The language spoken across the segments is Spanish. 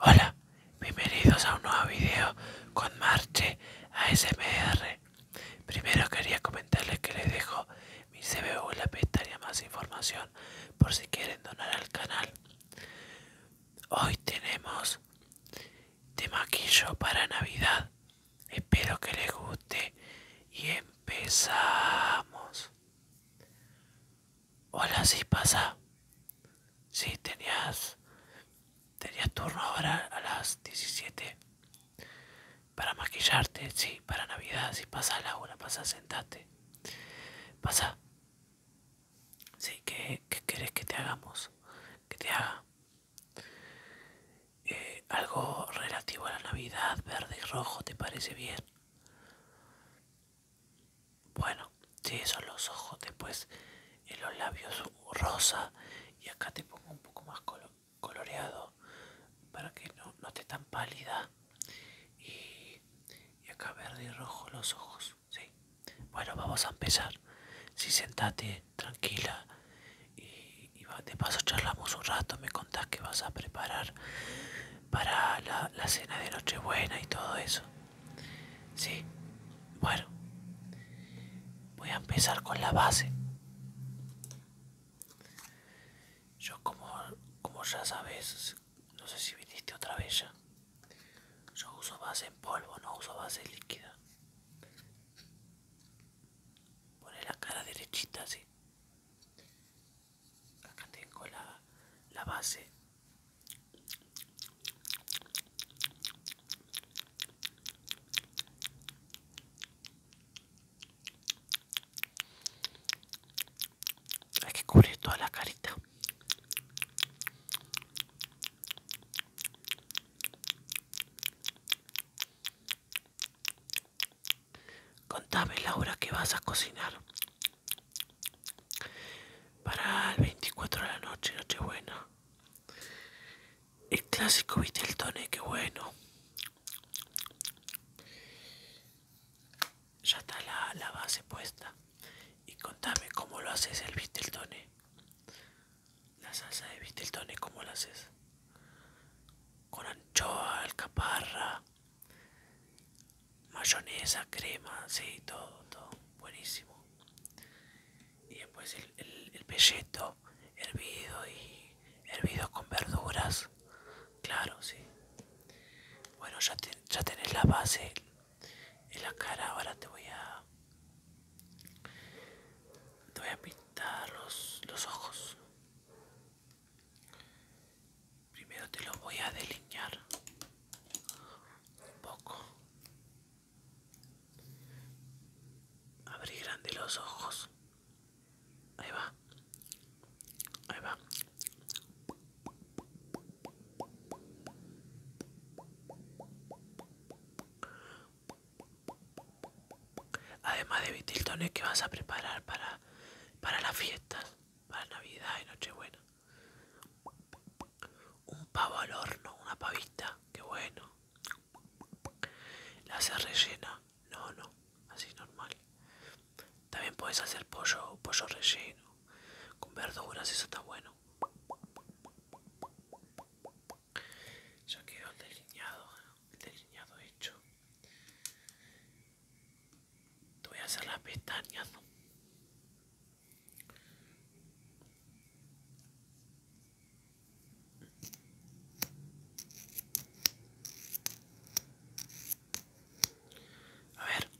Hola, bienvenidos a un nuevo video con Marche ASMR. Primero quería comentarles que les dejo mi CBU la pestaña más información por si quieren donar al canal. Hoy tenemos de maquillo para Navidad. Espero que les guste y empezamos. Hola, sí pasa. Sí, tenías. Tenías turno ahora a las 17. Para maquillarte, sí, para Navidad, Si pasa la hora pasa, sentate. Pasa. Sí, ¿qué, querés que te hagamos? Que te haga. Eh, algo relativo a la Navidad, verde y rojo, ¿te parece bien? Bueno, sí, son los ojos. Después en los labios rosa. Y acá te pongo un poco más coloreado para que no, esté tan pálida. Y, acá verde y rojo los ojos. ¿sí? Bueno, vamos a empezar. si sentate tranquila. Y, y de paso charlamos un rato. Me contás que vas a preparar para la, la cena de Nochebuena y todo eso. Sí, bueno, voy a empezar con la base. Yo como, como ya sabes, no sé si viniste otra vez ya. Yo uso base en polvo, no uso base líquida. Pone la cara derechita así acá tengo la, base hay que cubrir toda la carita Contame, Laura, que vas a cocinar. Para el 24 de la noche, buena El clásico viste qué bueno. Ya está la, base puesta. Y contame cómo lo haces el Visteltone. La salsa de Visteltone, como la haces? Con anchoa, alcaparra, mayonesa, crema, sí, todo, todo, buenísimo. Y después el, el, pelleto hervido y hervido con verduras, claro, sí. Bueno, ya, ya tenés la base en la cara, ahora te voy a... Te voy a pintar los, los ojos. Primero te lo voy a delinear un poco. Abre grande los ojos. Ahí va. Ahí va. Además de vitiltones que vas a preparar para, para las fiestas, para Navidad y Nochebuena. Un pavo al horno, una pavita, que bueno. La haces rellena, no, no, así normal. También puedes hacer pollo, pollo relleno, con verduras, eso está bueno. Ya quedó el delineado, el delineado hecho. Te voy a hacer las pestañas. A ver.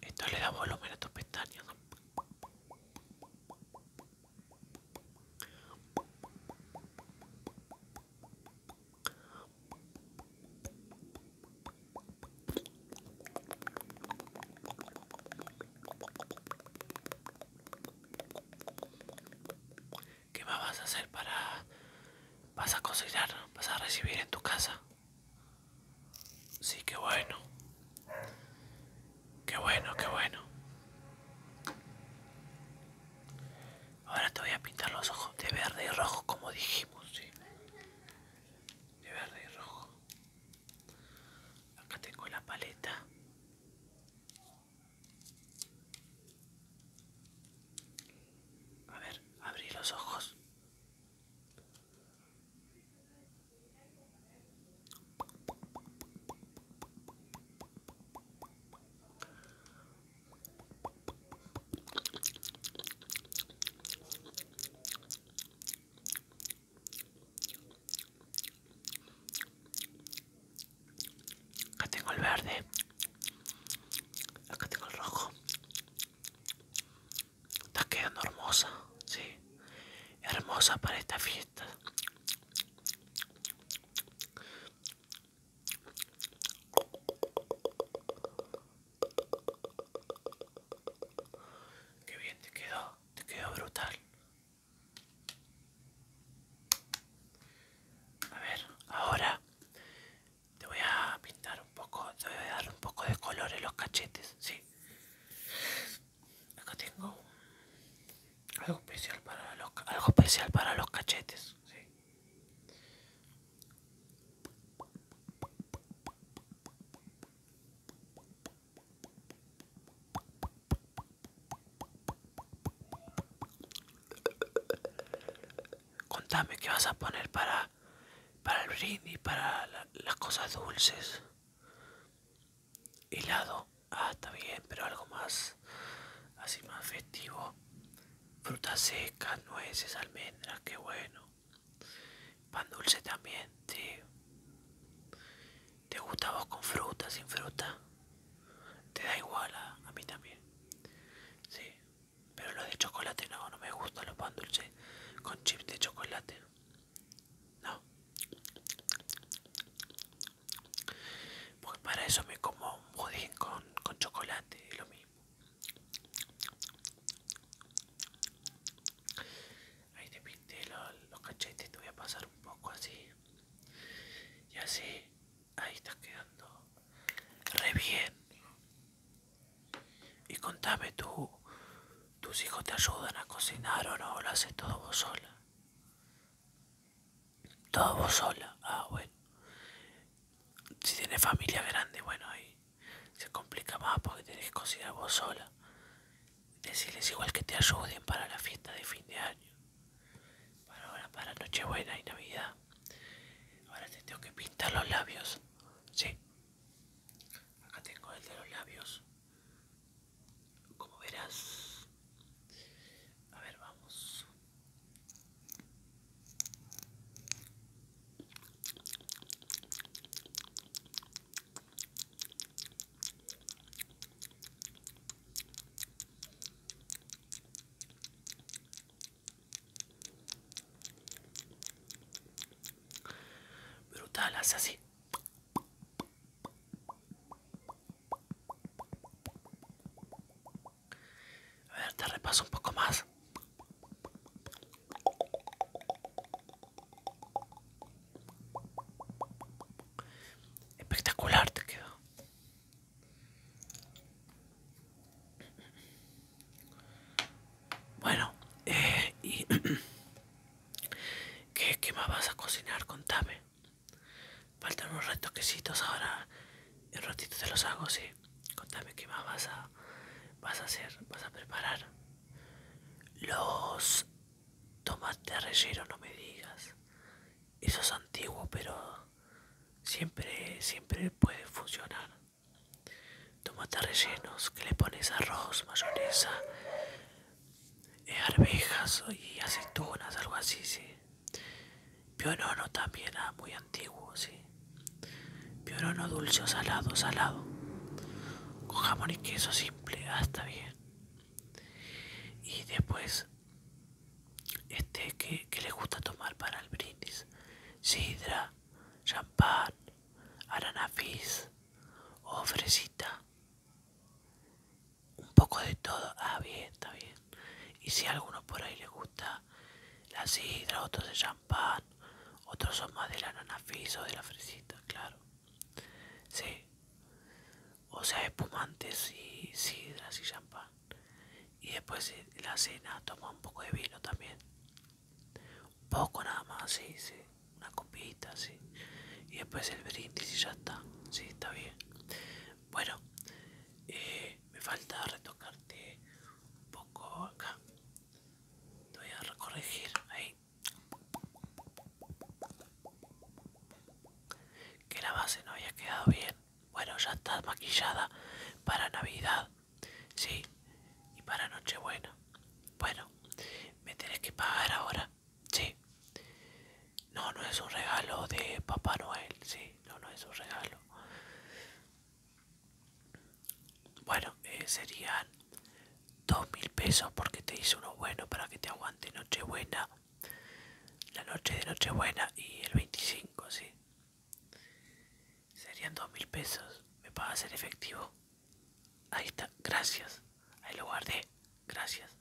Esto le da volumen a tus pestañas. ¿Qué más vas a hacer para... vas a cocinar, vas a recibir en tu casa? Sí, qué bueno. Qué bueno, qué bueno. Ahora te voy a pintar los ojos de verde y rojo como dijimos, ¿sí? De verde y rojo. Acá tengo la paleta. A ver, abrí los ojos. Acá tengo el verde. Acá tengo el rojo. Está quedando hermosa, sí. Hermosa para esta fiesta. Qué bien te quedó, te quedó brutal. A ver, ahora te voy a pintar un poco, te voy a dar un poco de color en los cachetes, sí. Acá tengo algo especial para los, algo especial para los cachetes, sí. Contame qué vas a poner para para el brindis, para las cosas dulces. Helado, ah, está bien, pero algo más, así más festivo. Frutas secas, nueces, almendras, qué bueno. Pan dulce también, sí. ¿Te gusta vos con fruta, sin fruta? Te da igual a, a mí también. Sí, pero lo de chocolate no, no me gusta los pan dulce con chips de chocolate. No. pues para eso me como un budín con, chocolate, es lo mismo. Ahí te pinté los, cachetes cachetes, te voy a pasar un poco así. Y así, ahí estás quedando re bien. Y contame tú, ¿tus hijos te ayudan a cocinar o no? ¿Lo haces todo vos sola? Todo vos sola, ah bueno. Si tienes familia grande, bueno, ahí se complica más porque tenés que cocinar vos sola. Decirles igual que te ayuden para la fiesta de fin de año. Para para Nochebuena y Navidad. Ahora te tengo que pintar los labios. Sí. Acá tengo el de los labios. Como verás. A ver, vamos. Brutal, hace así. A ver, te repaso un poco más. Espectacular te quedó. Bueno, eh, ¿Qué, ¿Qué más vas a cocinar? Contame. Faltan unos retoquecitos ahora. En ratito te los hago, sí. Contame qué más vas a, vas a hacer, vas a preparar. Los tomates rellenos, no me digas eso es antiguo pero siempre siempre puede funcionar Tomate rellenos que le pones arroz mayonesa eh, arvejas y aceitunas algo así sí Piorono también ah, muy antiguo sí Piorono dulce o salado salado con jamón y queso simple hasta ah, bien y después este que, le gusta tomar para el brindis sidra champán ananafis o fresita un poco de todo ah bien está bien y si a alguno por ahí le gusta la sidra otros de champán otros son más de ananafis o de la fresita claro sí o sea espumantes y sidras y champán y después eh, la cena toma un poco de vino también un poco nada más sí sí una copita sí y después el brindis y ya está sí está bien bueno eh, me falta retocarte un poco acá te voy a recorregir ahí que la base no había quedado bien. Bueno, ya está maquillada para Navidad. Sí, y para Nochebuena. Bueno, me tenés que pagar ahora. Sí. No, no es un regalo de Papá Noel. Sí, no, no es un regalo. Bueno, eh, serían dos mil pesos porque te hice uno bueno para que te aguante Nochebuena la noche de Nochebuena y el 25, sí. Serían 2000 mil pesos. ¿Me pagas en efectivo? Ahí está, gracias. Ahí lo guardé, gracias.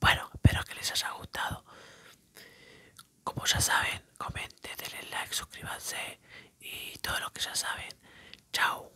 Bueno, espero que les haya gustado. Como ya saben, comenten, denle like, suscríbanse y todo lo que ya saben. Chao.